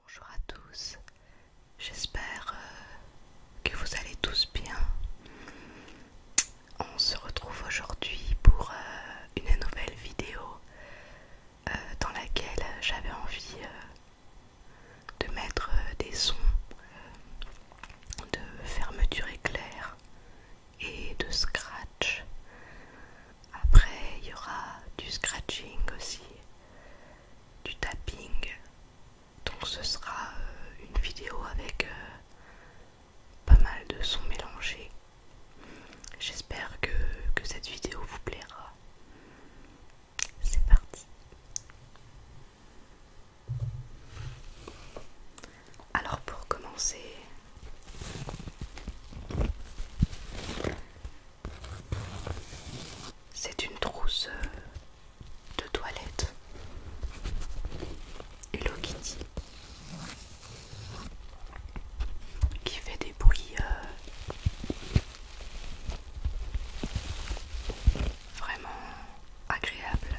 Bonjour à tous, j'espère euh, que vous allez tous bien. On se retrouve aujourd'hui pour euh, une nouvelle vidéo euh, dans laquelle j'avais envie de mettre des sons de fermeture éclair et de scratch. Après, il y aura du scratching aussi du tapping. Donc ce sera euh, une vidéo avec euh, pas mal de sons mélangés. J'espère que cette vidéo vous plaira. C'est parti. Alors pour commencer, c'est une trousse euh, de toilette Hello qui fait des bruits euh, vraiment agréables.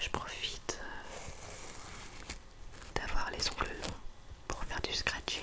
Je profite euh, d'avoir les ongles pour faire du scratching.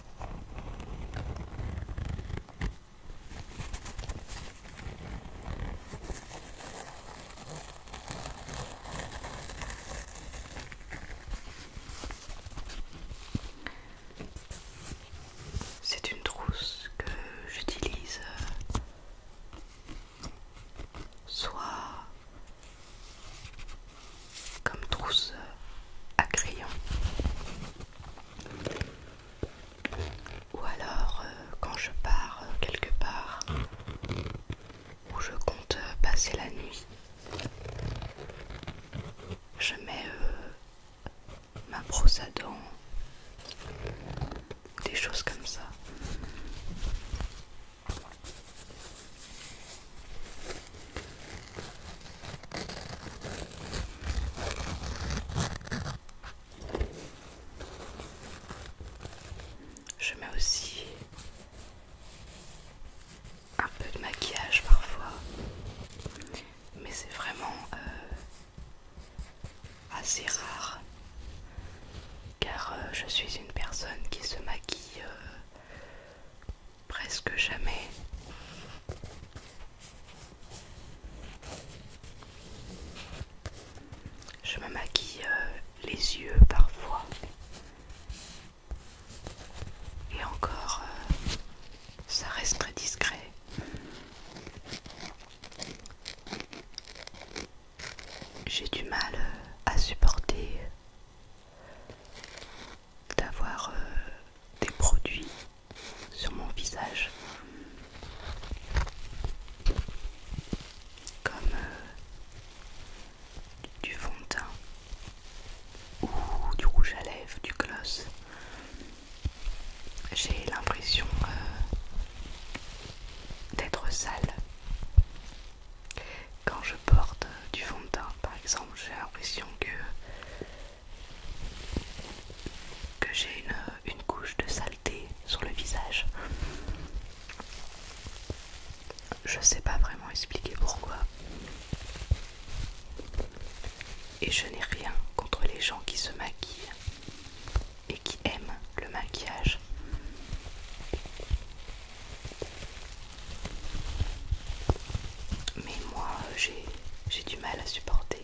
C'est une trousse que j'utilise euh, soit comme trousse euh, à crayon. Ou alors euh, quand je pars euh, quelque part où je compte passer la nuit, je mets ma brosse à dents, des choses comme ça. Je mets aussi un peu de maquillage parfois, mais c'est vraiment euh, assez rare car euh, je suis une personne qui se maquille euh, presque jamais. Je me maquille euh, les yeux parfois. Et encore, euh, ça reste très discret. J'ai du mal euh, à supporter d'avoir euh, des produits sur mon visage comme euh, du fond de teint ou du rouge à lèvres, du gloss. J'ai l'impression euh, d'être sale quand je porte du fond de teint, par exemple, j'ai l'impression que, que j'ai une, une couche de saleté sur le visage. Je sais pas vraiment expliquer pourquoi. Et je n'ai rien contre les gens qui se maquillent et qui aiment le maquillage. Mais moi, j'ai du mal à supporter.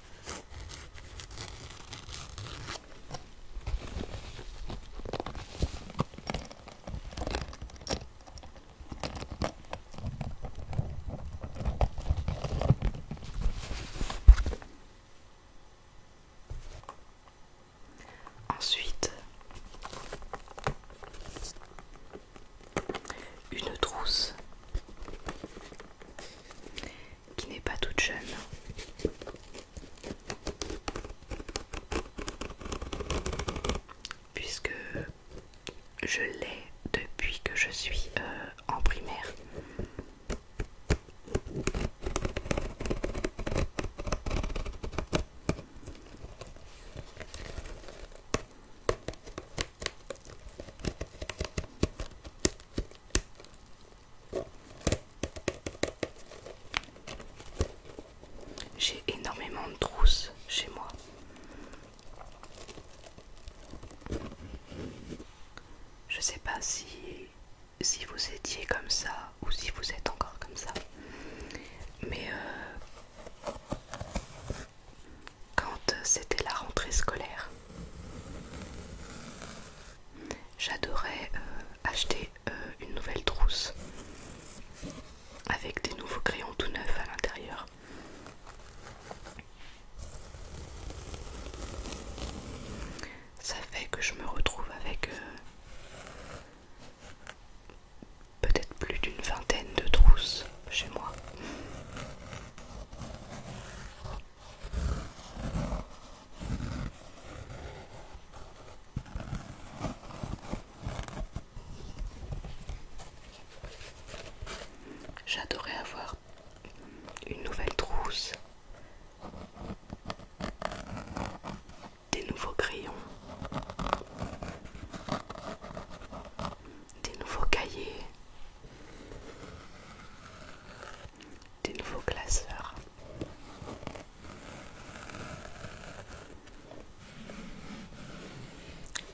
Ensuite, une trousse qui n'est pas toute jeune. Puisque je l'ai depuis que je suis euh, en primaire. J'ai énormément de trousses chez moi. Je sais pas si, vous étiez comme ça ou si vous êtes encore comme ça. Mais euh, quand c'était la rentrée scolaire, J'adorais euh, acheter euh, une nouvelle trousse avec des nouveaux crayons tout neufs à l'intérieur. Ça fait que je me retrouve avec euh, peut-être plus d'une vingtaine de trousses chez moi. J'adorais avoir une nouvelle trousse, des nouveaux crayons, des nouveaux cahiers des nouveaux classeurs.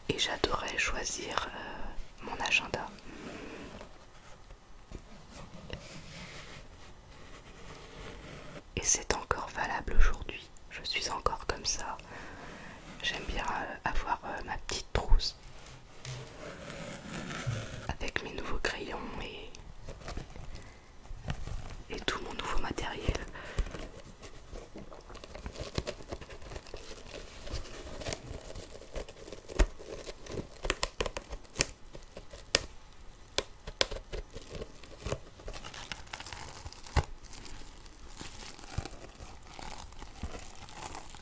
Et j'adorais choisir euh, mon agenda. Et c'est encore valable aujourd'hui. Je suis encore comme ça. J'aime bien euh, avoir euh, ma petite trousse avec mes nouveaux crayons et, et tout mon nouveau matériel.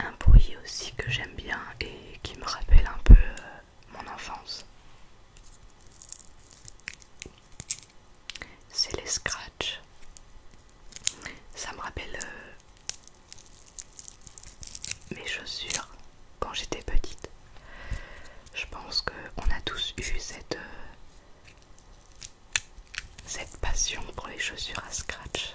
Un bruit aussi que j'aime bien et qui me rappelle un peu euh, mon enfance. C'est les Scratch, Ça me rappelle euh, mes chaussures quand j'étais petite. Je pense qu'on a tous eu cette, euh, cette passion pour les chaussures à scratch.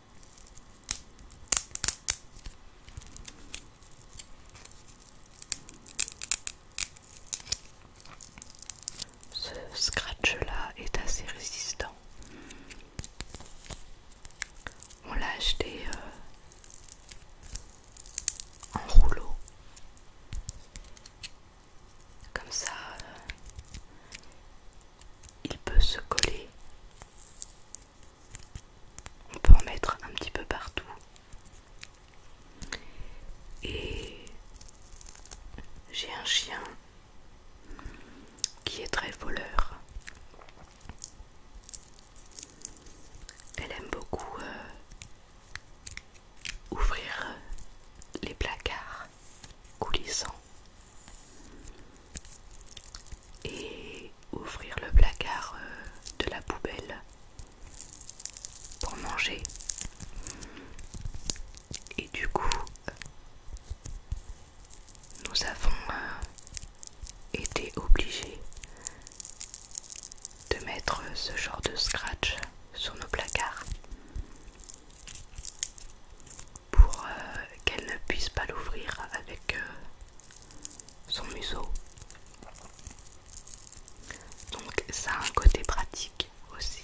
Ce scratch là est assez résistant. On l'a acheté euh, en rouleau. Comme ça, euh, il peut se coller. On peut en mettre un petit peu partout. Et j'ai un chien qui est très voleur. Elle aime beaucoup euh, ouvrir les placards coulissant et ouvrir le placard euh, de la poubelle pour manger et du coup nous avons euh, été obligés de mettre ce genre de scratch sur nos placards pour euh, qu'elle ne puisse pas l'ouvrir avec euh, son museau. Donc ça a un côté pratique aussi.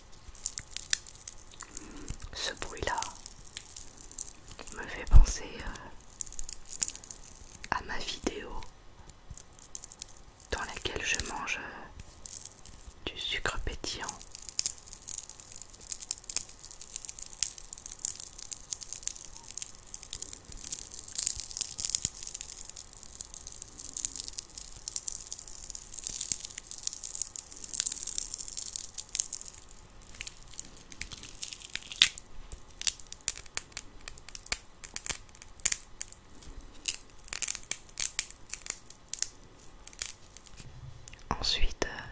Ce bruit-là me fait penser euh, à ma vidéo dans laquelle je mange euh, du sucre pétillant. Ensuite, euh,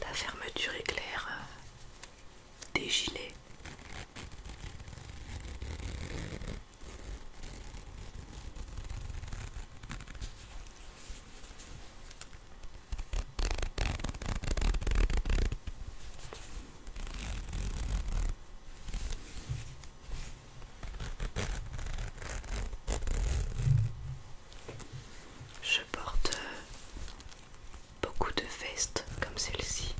la fermeture éclair euh, des gilets. Je porte euh, beaucoup de vestes comme celle-ci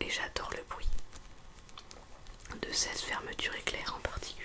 et j'adore le bruit de ces fermetures éclair en particulier.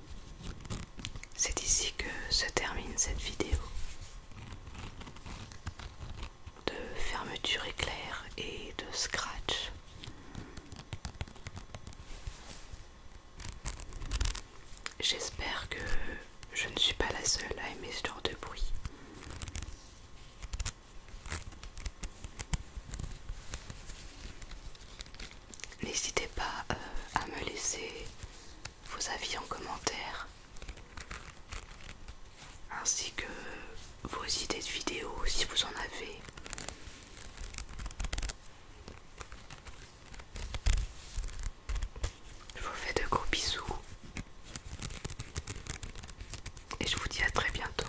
c'est ici que se termine cette vidéo de fermeture éclair et de scratch. J'espère que je ne suis pas la seule à aimer ce genre de bruit. N'hésitez pas euh, à me laisser vos avis en commentaire ainsi que vos idées de vidéos si vous en avez. Je vous fais de gros bisous et je vous dis à très bientôt.